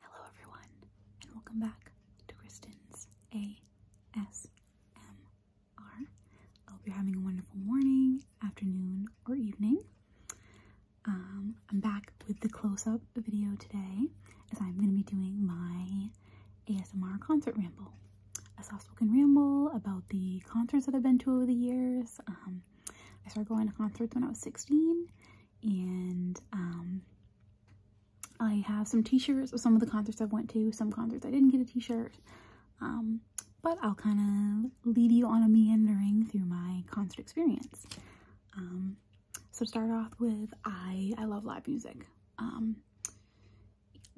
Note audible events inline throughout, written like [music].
Hello, everyone, and welcome back to Kristen's ASMR. I hope you're having a wonderful morning, afternoon, or evening. Um, I'm back with the close-up video today, as I'm going to be doing my ASMR concert ramble, a soft-spoken ramble about the concerts that I've been to over the years. Um, I started going to concerts when I was 16, and um, I have some t-shirts of some of the concerts I have went to, some concerts I didn't get a t-shirt, um, but I'll kind of lead you on a meandering through my concert experience. Um, so start off with, I, I love live music.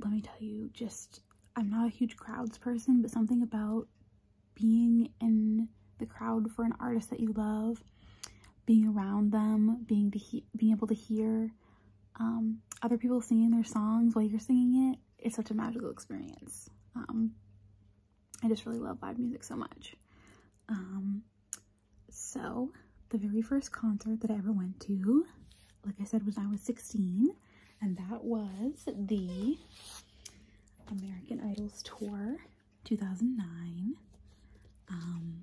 let me tell you, just, I'm not a huge crowds person, but something about being in the crowd for an artist that you love, being around them, being to being able to hear um, other people singing their songs while you're singing it. It's such a magical experience. Um, I just really love live music so much. Um, so the very first concert that I ever went to, like I said, was when I was 16, and that was the American Idols tour 2009. Um,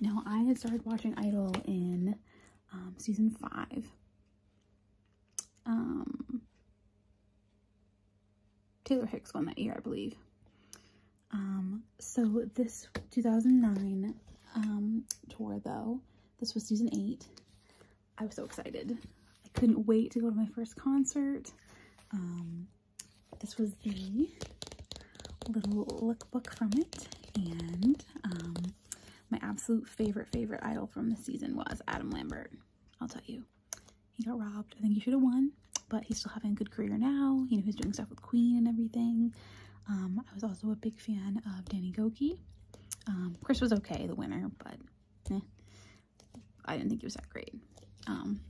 now, I had started watching Idol in um, season five. Um, Taylor Hicks won that year, I believe. Um, so this 2009 um, tour, though, this was season eight. I was so excited. I couldn't wait to go to my first concert. Um, this was the little lookbook from it. And um, my absolute favorite, favorite idol from the season was Adam Lambert. I'll tell you. He got robbed. I think he should have won, but he's still having a good career now. You know, he's doing stuff with Queen and everything. Um, I was also a big fan of Danny Goki. Um, Chris was okay, the winner, but eh. I didn't think it was that great. Um,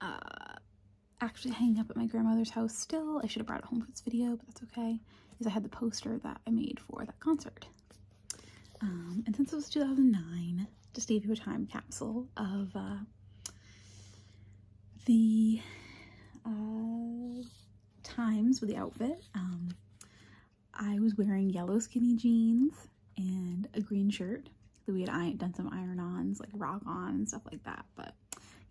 uh, actually hanging up at my grandmother's house still. I should have brought it home for this video, but that's okay. Because I had the poster that I made for that concert. Um, and since it was 2009, just gave you a time capsule of uh, the uh, times with the outfit. Um, I was wearing yellow skinny jeans and a green shirt. that we had done some iron-ons, like rock-on and stuff like that. But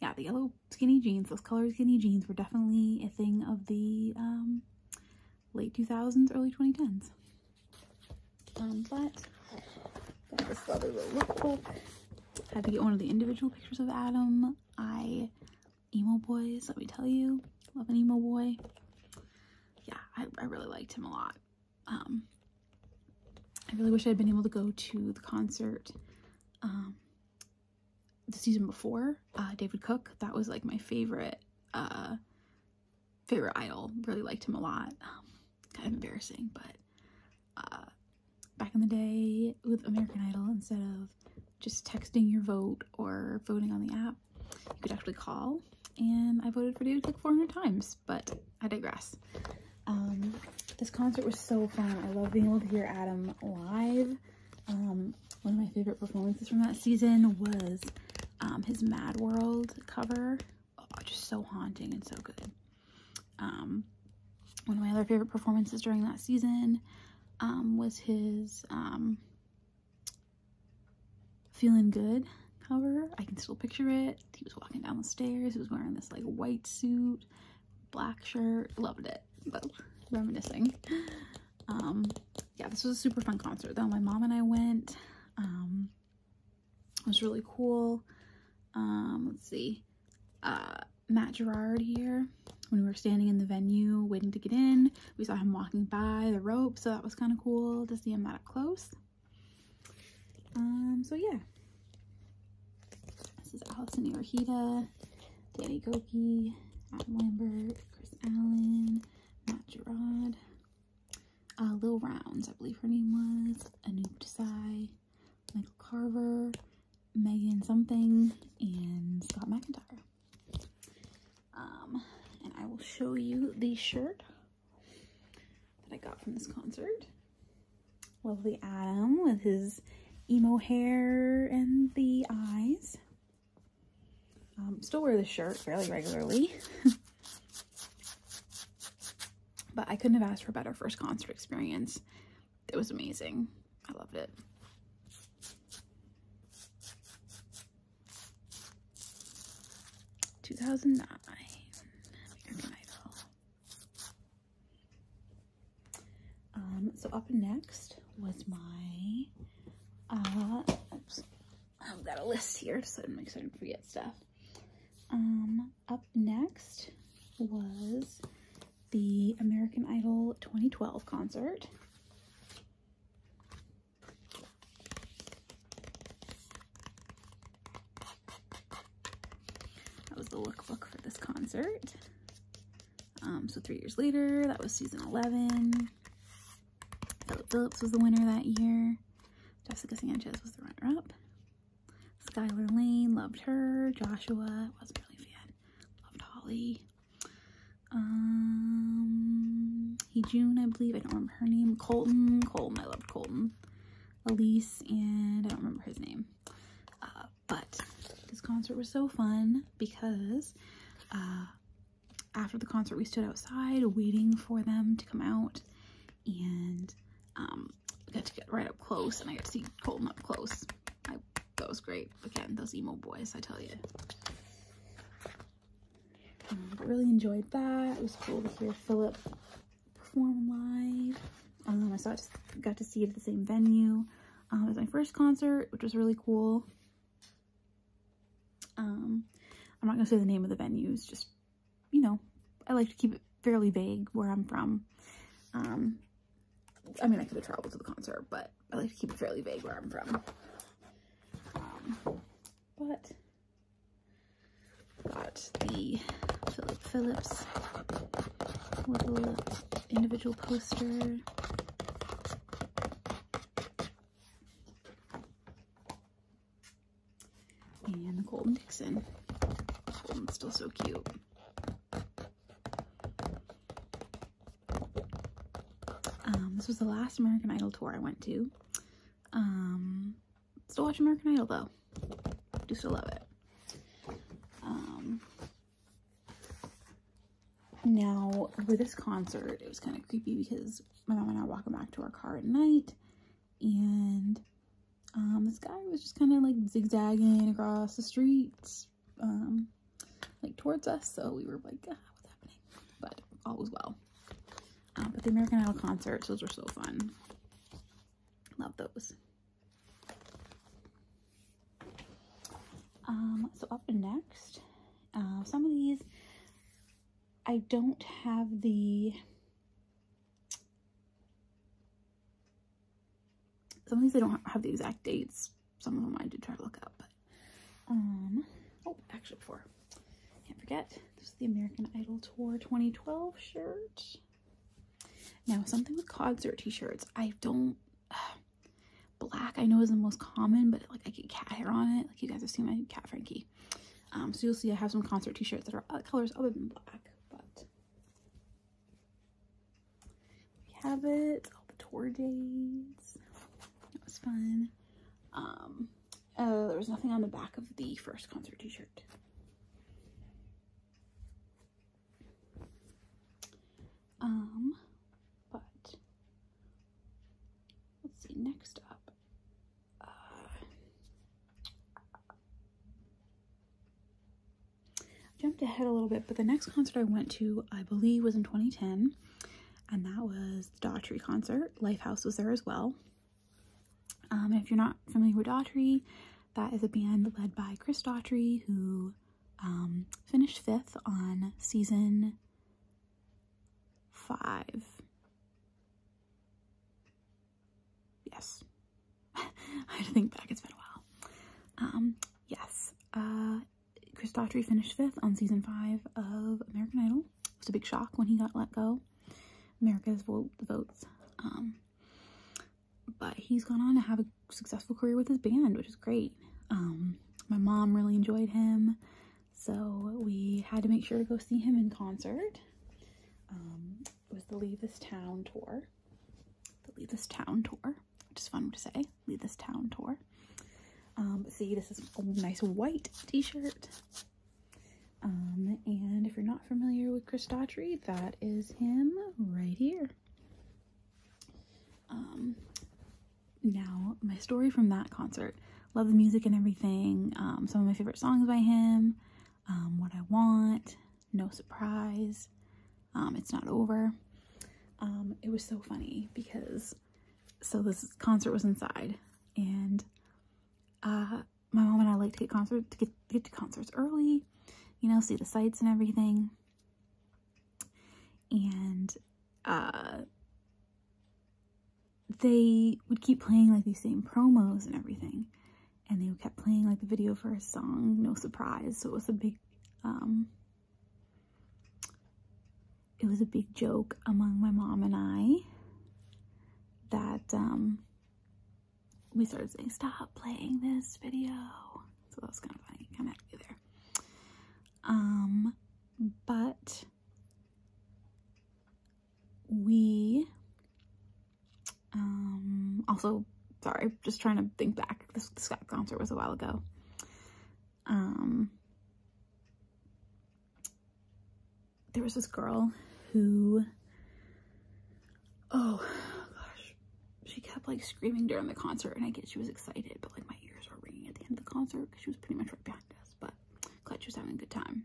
yeah, the yellow skinny jeans, those colored skinny jeans were definitely a thing of the um, late 2000s, early 2010s. Um, but got this lovely little lookbook. Had to get one of the individual pictures of Adam. I, emo boys, let me tell you, love an emo boy yeah, I, I really liked him a lot. Um, I really wish I had been able to go to the concert um, the season before, uh, David Cook. That was like my favorite, uh, favorite idol. Really liked him a lot. Um, kind of embarrassing, but uh, back in the day with American Idol, instead of just texting your vote or voting on the app, you could actually call and I voted for David like 400 times, but I digress. Um, this concert was so fun. I love being able to hear Adam live. Um, one of my favorite performances from that season was um, his Mad World cover. Oh, just so haunting and so good. one of my other favorite performances during that season was his feeling good, however. I can still picture it. He was walking down the stairs. He was wearing this like white suit, black shirt. Loved it. But reminiscing. Um, yeah, this was a super fun concert though. My mom and I went. Um, it was really cool. Um, let's see. Uh, Matt Gerard here. When we were standing in the venue waiting to get in, we saw him walking by the ropes. so that was kind of cool to see him that up close. Um, so yeah. This is Allison Yorhita, Danny Goki, Adam Lambert, Chris Allen, Matt Gerard, uh, Lil Rounds, I believe her name was, Anoop Desai, Michael Carver, Megan something, and Scott McIntyre. Um, and I will show you the shirt that I got from this concert. Lovely Adam with his emo hair and the eyes. Um, still wear this shirt fairly regularly. [laughs] but I couldn't have asked for a better first concert experience. It was amazing. I loved it. 2009. Um, so up next was my, uh, oops, I've got a list here so I'm excited to forget stuff. Um, up next was the American Idol 2012 concert. That was the lookbook for this concert. Um, so three years later, that was season 11. Philip Phillips was the winner that year. Jessica Sanchez was the runner-up. Skylar Lane, loved her. Joshua, wasn't really a fan. Loved Holly. Um, he June, I believe. I don't remember her name. Colton. Colton. I loved Colton. Elise and I don't remember his name. Uh, but this concert was so fun because uh, after the concert we stood outside waiting for them to come out and um, got to get right up close and I got to see Colton up close. that was great. Again, those emo boys, I tell you. Um, really enjoyed that. It was cool to hear Philip perform live. Um, I saw it, got to see it at the same venue. Um, it was my first concert, which was really cool. Um, I'm not gonna say the name of the venues, just, you know, I like to keep it fairly vague where I'm from. Um, I mean, I could have traveled to the concert, but I like to keep it fairly vague where I'm from. but Got the Philip Phillips little individual poster. And the Golden Dixon. Golden's still so cute. Um, this was the last American Idol tour I went to. Um, Still watch American Idol though. Do still love it. Um, now for this concert, it was kind of creepy because my mom and I were walking back to our car at night, and um, this guy was just kind of like zigzagging across the streets, um, like towards us. So we were like, ah, what's happening? But all was well. Uh, but the American Idol concerts, those were so fun. Love those. Um, so up next, uh, some of these, I don't have the, some of these I don't have the exact dates. Some of them I did try to look up, um, oh, actually four. Can't forget, this is the American Idol Tour 2012 shirt. Now, something with concert t-shirts. I don't... [sighs] black, I know, is the most common, but, like, I get cat hair on it. Like, you guys have seen my cat Frankie. Um, so you'll see I have some concert t-shirts that are other colors other than black, but... We have it. All the tour dates. That was fun. Um, uh, there was nothing on the back of the first concert t-shirt. Um, but let's see, next up, uh, jumped ahead a little bit, but the next concert I went to, I believe, was in 2010, and that was the Daughtry concert. Lifehouse was there as well. Um, if you're not familiar with Daughtry, that is a band led by Chris Daughtry, who um, finished fifth on season five. Yes. [laughs] I think back, it's been a while. yes. Uh, Chris Daughtry finished fifth on season five of American Idol it was a big shock when he got let go. America's vote the votes. Um, but he's gone on to have a successful career with his band, which is great. Um, my mom really enjoyed him, so we had to make sure to go see him in concert. Um, it was the Leave This Town tour. The Leave This Town tour, which is fun to say. Leave This Town tour. see, this is a nice white t-shirt. Um, and if you're not familiar with Chris Daughtry, that is him right here. Um, now, my story from that concert. Love the music and everything. Um, some of my favorite songs by him. what I Want, No Surprise, It's Not Over. it was so funny because, so this concert was inside and uh, my mom and I like to get concert to get, get to concerts early, you know, see the sights and everything. And uh they would keep playing like these same promos and everything. And they kept playing like the video for a song, No Surprise. So it was a big um it was a big joke among my mom and I that um we started saying, stop playing this video. So that was kind of funny, kind of happy there. Um, but we, um, also, sorry, just trying to think back. This, this concert was a while ago. Um, there was this girl who, oh gosh, she kept like screaming during the concert and I guess she was excited, but like my ears were ringing at the end of the concert because she was pretty much right behind us, but glad she was having a good time.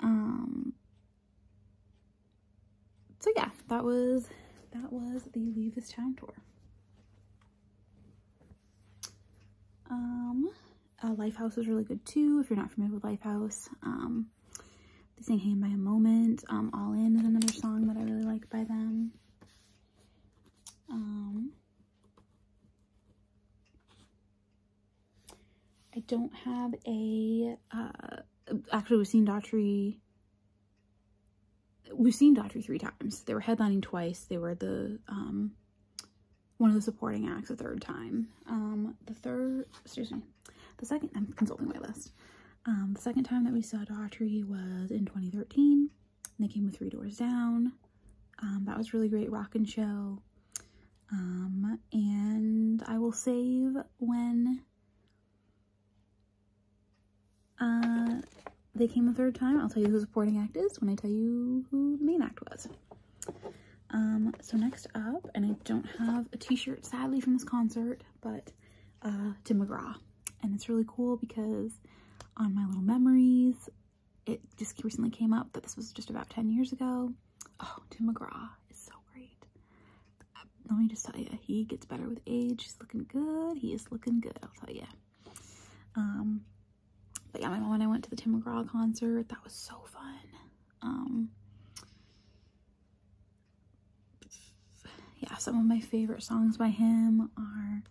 Um, so yeah, that was, that was the Leave This Town tour. Um, uh, Lifehouse is really good too, if you're not familiar with Lifehouse. Um, they sang Hang by a Moment. Um, All In is another song that I really like by them. Um, I don't have a, uh, actually we've seen Daughtry, we've seen Daughtry three times. They were headlining twice. They were the, um, one of the supporting acts a third time. Um, the third, excuse me, the second, I'm consulting my list. Um, the second time that we saw Daughtry was in 2013. They came with Three Doors Down. Um, that was really great rock and show. Um, and I will save when uh, they came a third time. I'll tell you who the supporting act is when I tell you who the main act was. Um, so next up, and I don't have a t-shirt sadly from this concert, but uh, Tim McGraw. And it's really cool because on my little memories, it just recently came up that this was just about 10 years ago. Oh, Tim McGraw is so great. Uh, let me just tell you, he gets better with age. He's looking good. He is looking good, I'll tell you. Um, but yeah, my mom and I went to the Tim McGraw concert. That was so fun. Um, yeah, some of my favorite songs by him are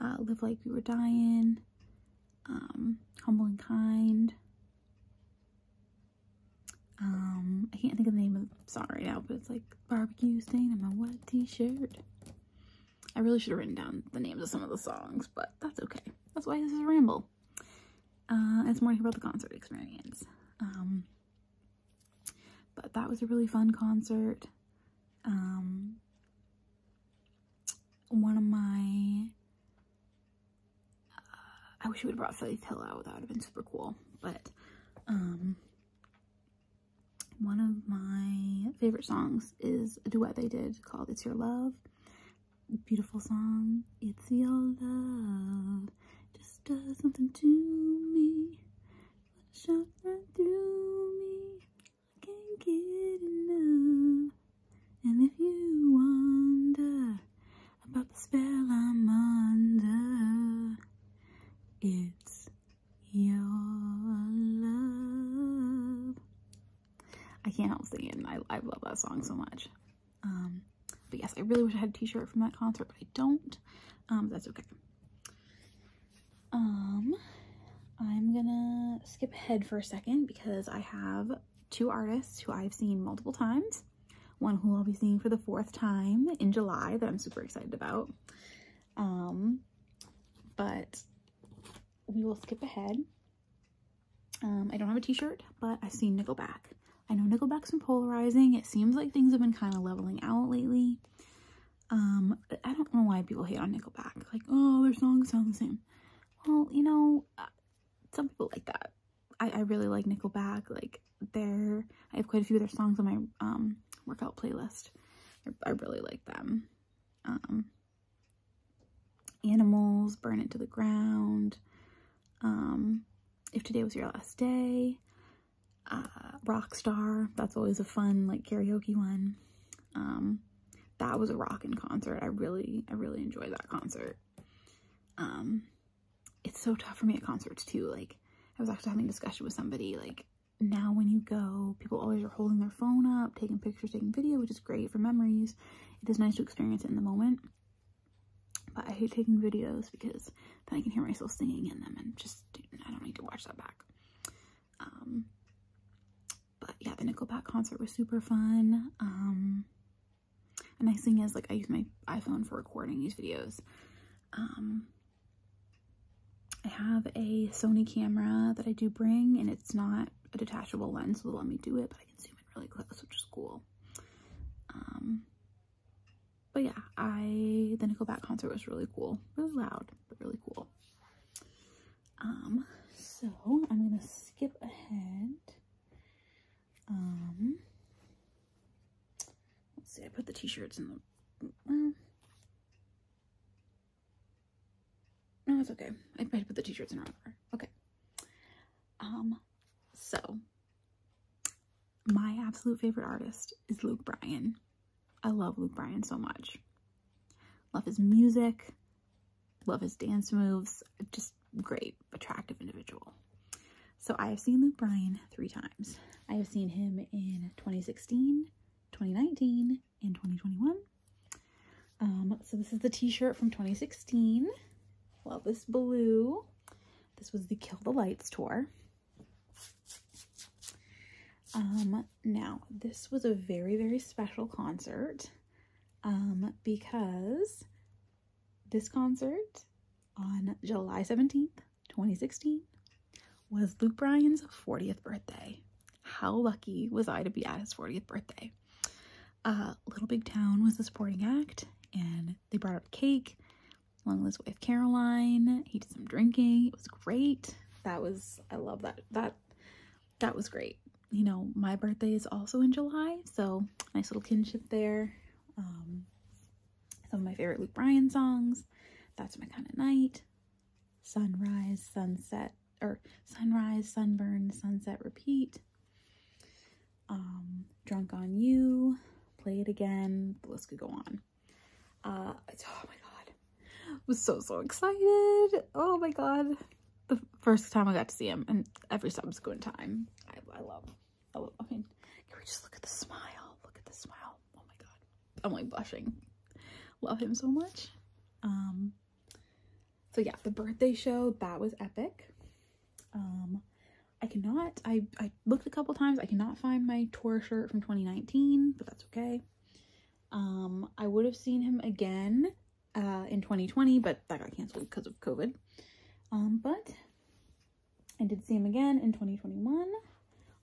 uh, Live Like We Were Dying, um, Humble and Kind. Um, I can't think of the name of the song right now, but it's like Barbecue Stain on My Wet T-Shirt. I really should have written down the names of some of the songs, but that's okay. That's why this is a ramble. Uh, it's more about the concert experience. Um, but that was a really fun concert. Um, one of my, uh, I wish we would have brought Faith Hill out. That would have been super cool. But, um, one of my favorite songs is a duet they did called It's Your Love beautiful song. It's your love. Uh, just does something to me. Shot right through me. I can't get enough. And if you wonder about the spell I'm under, it's your love. I can't help singing. I, I love that song so much. Um, but yes, I really wish I had a t-shirt from that concert, but I don't. Um, that's okay. Um, I'm gonna skip ahead for a second because I have two artists who I've seen multiple times. One who I'll be seeing for the fourth time in July that I'm super excited about. but we will skip ahead um, I don't have a t-shirt, but I've seen Nickelback. I know Nickelback's been polarizing. It seems like things have been kind of leveling out lately. Um, I don't know why people hate on Nickelback. Like, oh, their songs sound the same. Well, you know, uh, some people like that. I, really like Nickelback. Like, their I have quite a few of their songs on my um, workout playlist. I, really like them animals, burn it to the ground, um, if today was your last day, uh, rock star, that's always a fun like karaoke one. Um, that was a rockin' concert. I really, I really enjoyed that concert. Um, it's so tough for me at concerts too. Like I was actually having a discussion with somebody like now when you go, people always are holding their phone up, taking pictures, taking video, which is great for memories. It is nice to experience it in the moment. But I hate taking videos because then I can hear myself singing in them and just, I don't need to watch that back. Um, but yeah, the Nickelback concert was super fun. Um, the nice thing is like I use my iPhone for recording these videos. Um, I have a Sony camera that I do bring and it's not a detachable lens, so let me do it, but I can zoom in really close, which is cool. Um, but yeah, I the Nickelback concert was really cool. Really loud, but really cool. Um, so I'm gonna skip ahead. Um, let's see, I put the t-shirts in the, no, it's okay. I put the t-shirts in wrong order. Okay. Um, so, my absolute favorite artist is Luke Bryan. I love Luke Bryan so much. Love his music, love his dance moves, just great, attractive individual. So I have seen Luke Bryan three times. I have seen him in 2016, 2019, and 2021. Um, so this is the t-shirt from 2016. Love this blue. This was the Kill the Lights tour. Um, now, this was a very, very special concert um, because this concert on July 17th, 2016 was Luke Bryan's 40th birthday. How lucky was I to be at his 40th birthday? Uh, little Big Town was the supporting act, and they brought out a cake. Long Lives wife Caroline. He did some drinking. It was great. That was I love that that that was great. You know, my birthday is also in July, so nice little kinship there. Um, some of my favorite Luke Bryan songs. That's my kind of night. Sunrise, sunset, or sunrise, sunburn, sunset, repeat. Um, Drunk on You, Play It Again, the list could go on. Uh, oh my god, I was so, so excited. Oh my god, the first time I got to see him and every subsequent time, I, love, I love, I mean, can we just look at the smile? Look at the smile. Oh my god, I'm like blushing. Love him so much. Um, so yeah, the birthday show, that was epic. Um, I cannot, I, I looked a couple times, I cannot find my tour shirt from 2019, but that's okay. Um, I would have seen him again uh, in 2020, but that got canceled because of COVID. Um, but I did see him again in 2021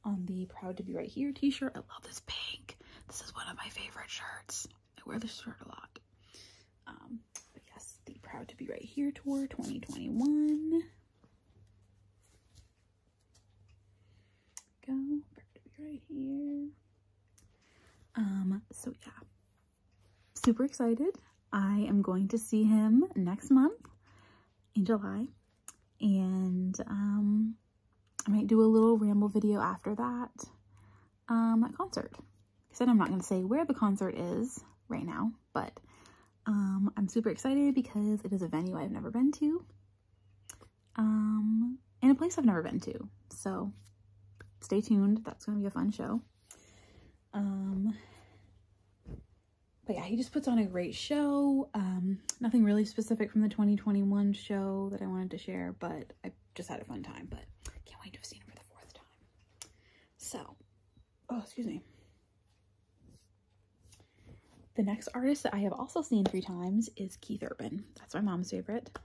on the Proud to Be Right Here t-shirt. I love this pink. This is one of my favorite shirts. I wear this shirt a lot. Um, yes, the Proud to Be Right Here Tour 2021. Go, Proud to Be Right Here. Um, so yeah, super excited. I am going to see him next month in July. And um, I might do a little ramble video after that um, concert. I said I'm not going to say where the concert is right now but um, I'm super excited because it is a venue I've never been to um, and a place I've never been to. So stay tuned. That's going to be a fun show. Um, but yeah, he just puts on a great show. Um, nothing really specific from the 2021 show that I wanted to share, but I just had a fun time, but can't wait to have seen him for the fourth time. So oh, excuse me. The next artist that I have also seen three times is Keith Urban. That's my mom's favorite.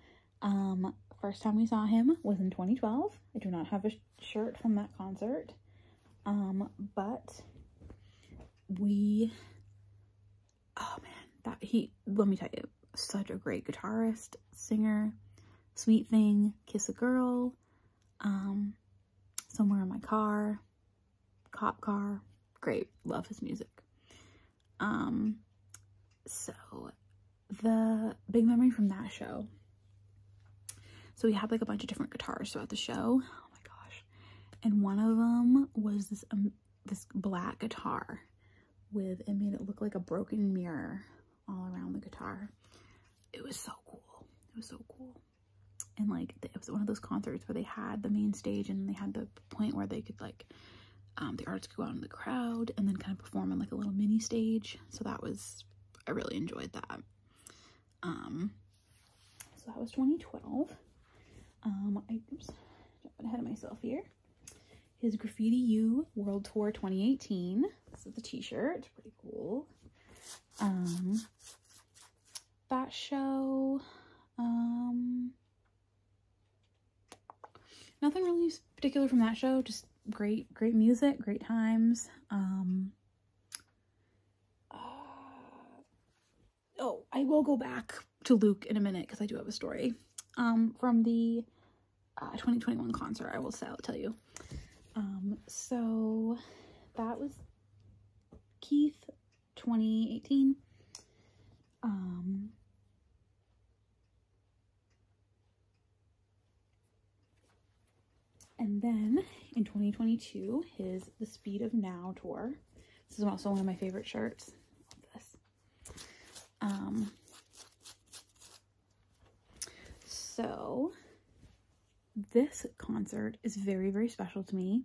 Um, first time we saw him was in 2012. I do not have a shirt from that concert. Um, but we, oh man, that he, let me tell you, such a great guitarist, singer, Sweet Thing, Kiss a Girl, um, Somewhere in My Car, Cop Car. Great. Love his music. Um, so the big memory from that show. So we had like a bunch of different guitars throughout the show. Oh my gosh. And one of them was this, um, this black guitar with, it made it look like a broken mirror all around the guitar. It was so cool. It was so cool. And like it was one of those concerts where they had the main stage and they had the point where they could like um, the artists go out in the crowd and then kind of perform on like a little mini stage. So that was I really enjoyed that. Um, so that was 2012. Um, I oops, jumping ahead of myself here. His Graffiti U World Tour 2018. This is the t-shirt pretty cool. Um, that show, um, nothing really particular from that show, just great, great music, great times. Um, uh, oh, I will go back to Luke in a minute because I do have a story um, from the uh, 2021 concert I will tell you um, so that was Keith 2018. Um, and then in 2022, his The Speed of Now tour. This is also one of my favorite shirts. Love this. Um, so this concert is very, very special to me.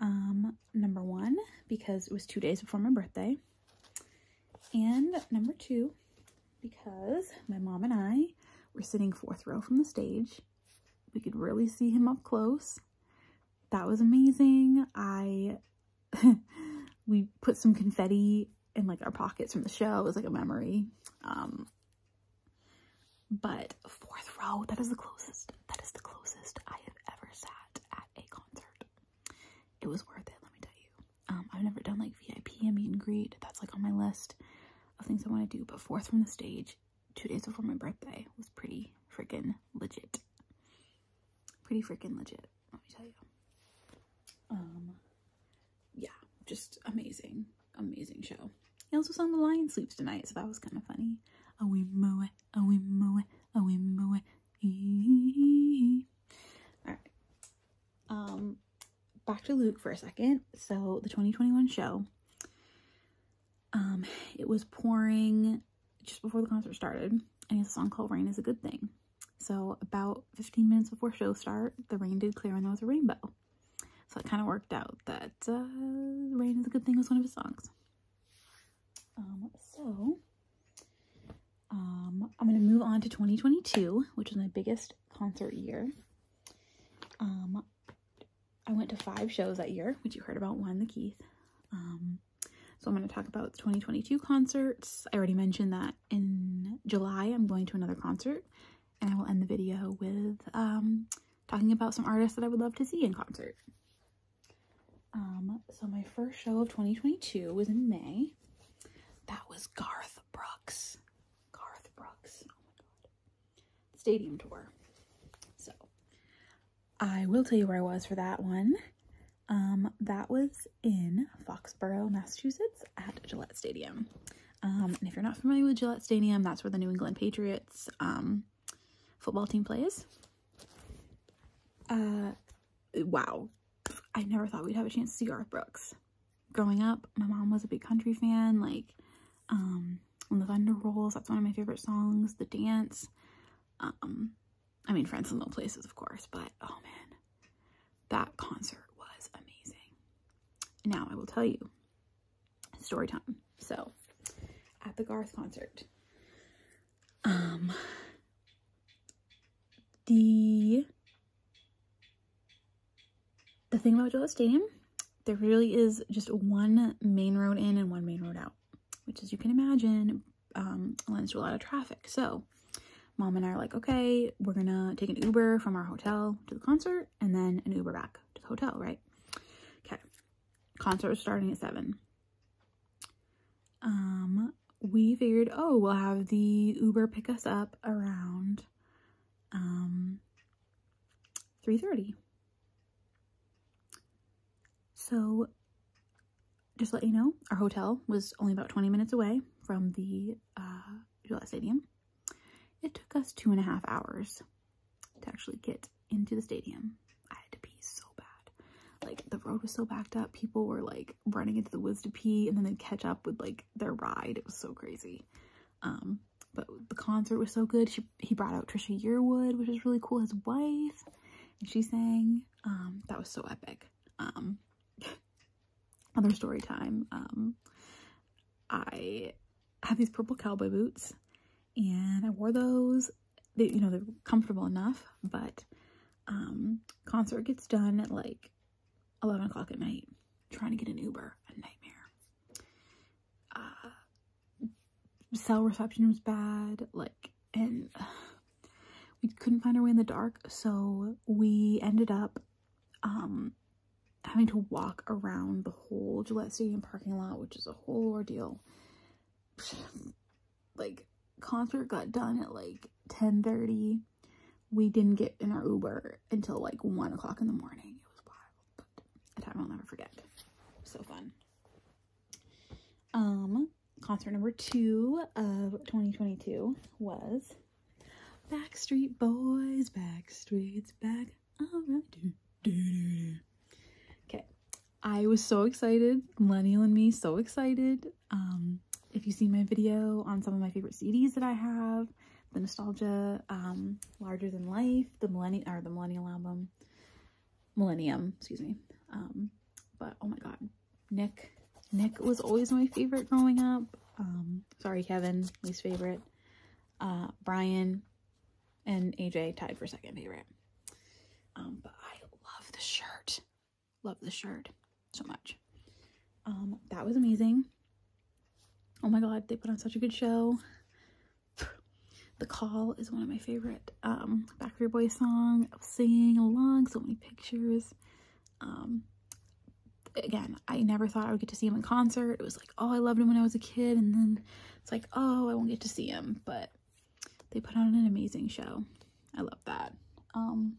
Um, number one, because it was two days before my birthday. And number two, because my mom and I were sitting fourth row from the stage. We could really see him up close. That was amazing. I, [laughs] we put some confetti in like our pockets from the show. It was like a memory. Um, but fourth row, that is the closest. That is the closest I have ever sat at a concert. It was worth it, let me tell you. Um, I've never done like VIP and meet and greet. That's like on my list of things I want to do. But fourth from the stage, two days before my birthday, was pretty freaking legit. Pretty freaking legit, let me tell you. Um, yeah, just amazing, amazing show. He also sang The Lion Sleeps Tonight, so that was kind of funny. Awe moe, awe moe, awe moe, Alright. Um, back to Luke for a second. So, the 2021 show, um, it was pouring just before the concert started, and he has a song called Rain is a Good Thing. So, about 15 minutes before show start, the rain did clear and there was a rainbow. So it kind of worked out that uh, Rain is a Good Thing was one of his songs. Um, so um, I'm going to move on to 2022, which was my biggest concert year. Um, I went to five shows that year, which you heard about one, the Keith. Um, so I'm going to talk about 2022 concerts. I already mentioned that in July I'm going to another concert and I will end the video with um, talking about some artists that I would love to see in concert. Um, so my first show of 2022 was in May. That was Garth Brooks. Garth Brooks. Oh my god. Stadium tour. So I will tell you where I was for that one. Um, that was in Foxborough, Massachusetts at Gillette Stadium. Um, and if you're not familiar with Gillette Stadium, that's where the New England Patriots um, football team plays. Uh, wow. I never thought we'd have a chance to see Earth Brooks. Growing up, my mom was a big country fan. Like, um, When the Thunder Rolls, that's one of my favorite songs. The Dance. Um, I mean, Friends in little Places, of course. But, oh man, that concert was amazing. Now, I will tell you, story time. So at the Garth concert, um, the, the thing about Gillette Stadium, there really is just one main road in and one main road out, which as you can imagine, um, lends to a lot of traffic. So mom and I are like, okay, we're gonna take an Uber from our hotel to the concert and then an Uber back to the hotel, right? Okay. Concert was starting at 7. Um, we figured, oh, we'll have the Uber pick us up around um, 3.30. So just let you know, our hotel was only about 20 minutes away from the uh, Gillette Stadium. It took us two and a half hours to actually get into the stadium. I had to pee so bad. Like the road was so backed up. People were like running into the woods to pee and then they catch up with like their ride. It was so crazy. Um, but the concert was so good. he brought out Trisha Yearwood, which is really cool, his wife, and she sang. Um, that was so epic. Um, [laughs] other story time. Um, I I have these purple cowboy boots and I wore those. They, you know, they're comfortable enough, but um, concert gets done at like 11 o'clock at night. Trying to get an Uber, a nightmare. Uh, cell reception was bad, like, and uh, we couldn't find our way in the dark, so we ended up um, having to walk around the whole Gillette Stadium parking lot, which is a whole ordeal. [sighs] like, concert got done at like 10.30. We didn't get in our Uber until like 1 o'clock in the morning. It was wild, but a time I'll never forget. So fun. Um, concert number two of 2022 was Backstreet Boys, Backstreet's Back. Oh, okay. I was so excited. Millennial and me, so excited. Um, if you see my video on some of my favorite CDs that I have, the Nostalgia, um, Larger Than Life, the Millennium, or the Millennial album, Millennium, excuse me. Um, but oh my God, Nick, Nick was always my favorite growing up. Um, sorry, Kevin, least favorite. Uh, Brian and AJ tied for second favorite. Um, but I love the shirt. Love the shirt so much. Um, that was amazing. Oh my god, they put on such a good show. The Call is one of my favorite um, Backstreet Boys song. I singing along, so many pictures. Um, again, I never thought I would get to see him in concert. It was oh, I loved him when I was a kid. And then it's like, oh, I won't get to see him. But they put on an amazing show. I love that. Um,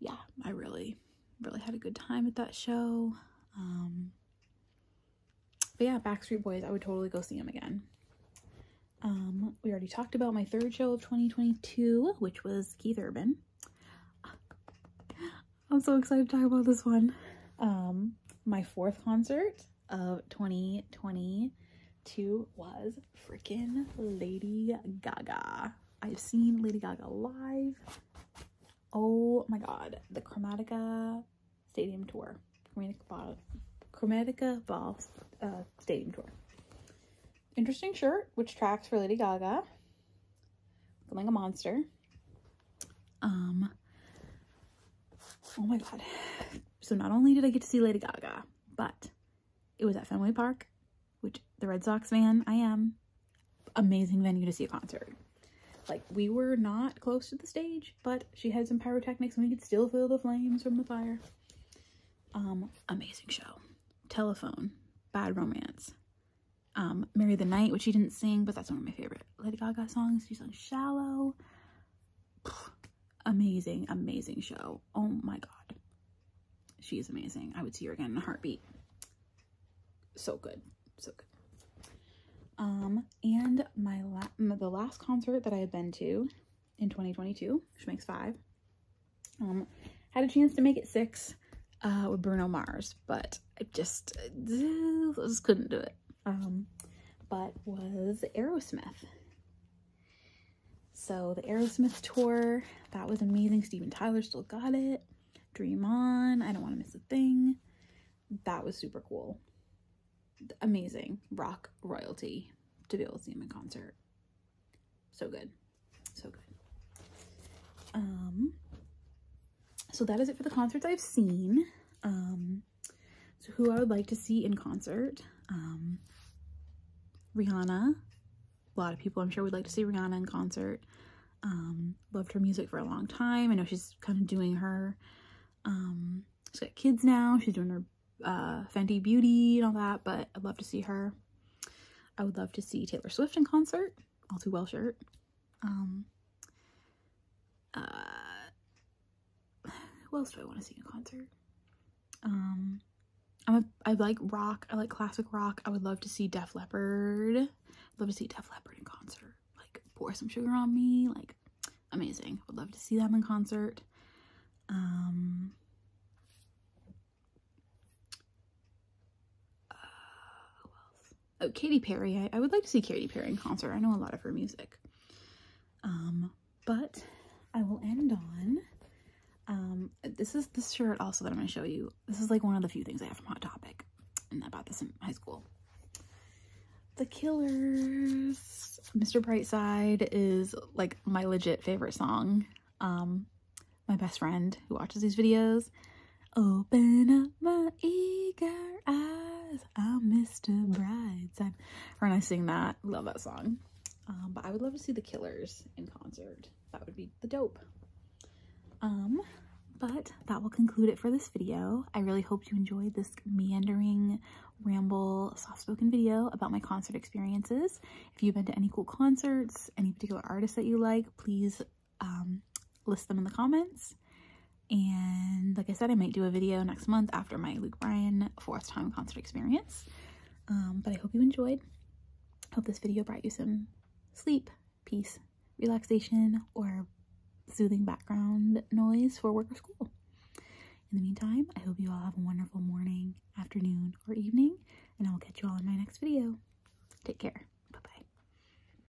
yeah, I really, really had a good time at that show. Um, but yeah, Backstreet Boys, I would totally go see them again. Um, we already talked about my third show of 2022, which was Keith Urban. I'm so excited to talk about this one. Um, my fourth concert of 2022 was freaking Lady Gaga. I've seen Lady Gaga live. Oh my god, the Chromatica Stadium Tour. Chromatica Ball, Chromatica Ball uh, Stadium Tour. Interesting shirt, which tracks for Lady Gaga. Looking like a monster. Um, oh my God. So not only did I get to see Lady Gaga, but it was at Fenway Park, which the Red Sox fan I am. Amazing venue to see a concert. Like we were not close to the stage, but she had some pyrotechnics and we could still feel the flames from the fire. Um, amazing show. Telephone, Bad Romance, um, Mary the Night, which she didn't sing, but that's one of my favorite Lady Gaga songs. She sang Shallow. [sighs] amazing, amazing show. Oh my God. She is amazing. I would see her again in a heartbeat. So good. So good. Um, and my, la the last concert that I have been to in 2022, which makes five, um, had a chance to make it six uh, with Bruno Mars, but I just, uh, just couldn't do it. Um, but was Aerosmith. So the Aerosmith tour, that was amazing. Steven Tyler still got it. Dream On, I Don't Want to Miss a Thing. That was super cool. Amazing. Rock royalty to be able to see him in concert. So good. So good. Um, so that is it for the concerts I've seen. Um, so who I would like to see in concert. Um, Rihanna. A lot of people I'm sure would like to see Rihanna in concert. Um, loved her music for a long time. I know she's kind of doing her, she's got kids now. She's doing her uh, Fenty Beauty and all that, but I'd love to see her. I would love to see Taylor Swift in concert. All too well shirt. Um, uh, else do I want to see in a concert? Um, I'm a, I like rock. I like classic rock. I would love to see Def Leppard. love to see Def Leppard in concert. Like, pour some sugar on me. Like, amazing. Would love to see them in concert. Um, uh, who else? oh, Katy Perry. I, I, would like to see Katy Perry in concert. I know a lot of her music. Um, but I will end on, um, this is the shirt also that I'm going to show you. This is like one of the few things I have from Hot Topic. And I bought this in high school. The Killers. Mr. Brightside is like my legit favorite song. Um, my best friend who watches these videos Open up my eager eyes. I'm Mr. Brightside. Her and I sing that. Love that song. Um, but I would love to see the Killers in concert. That would be the dope. Um, but that will conclude it for this video. I really hope you enjoyed this meandering, ramble, soft-spoken video about my concert experiences. If you've been to any cool concerts, any particular artists that you like, please um, list them in the comments. And like I said, I might do a video next month after my Luke Bryan fourth time concert experience. Um, but I hope you enjoyed. Hope this video brought you some sleep, peace, relaxation, or soothing background noise for work or school. In the meantime, I hope you all have a wonderful morning, afternoon, or evening, and I will catch you all in my next video. Take care. Bye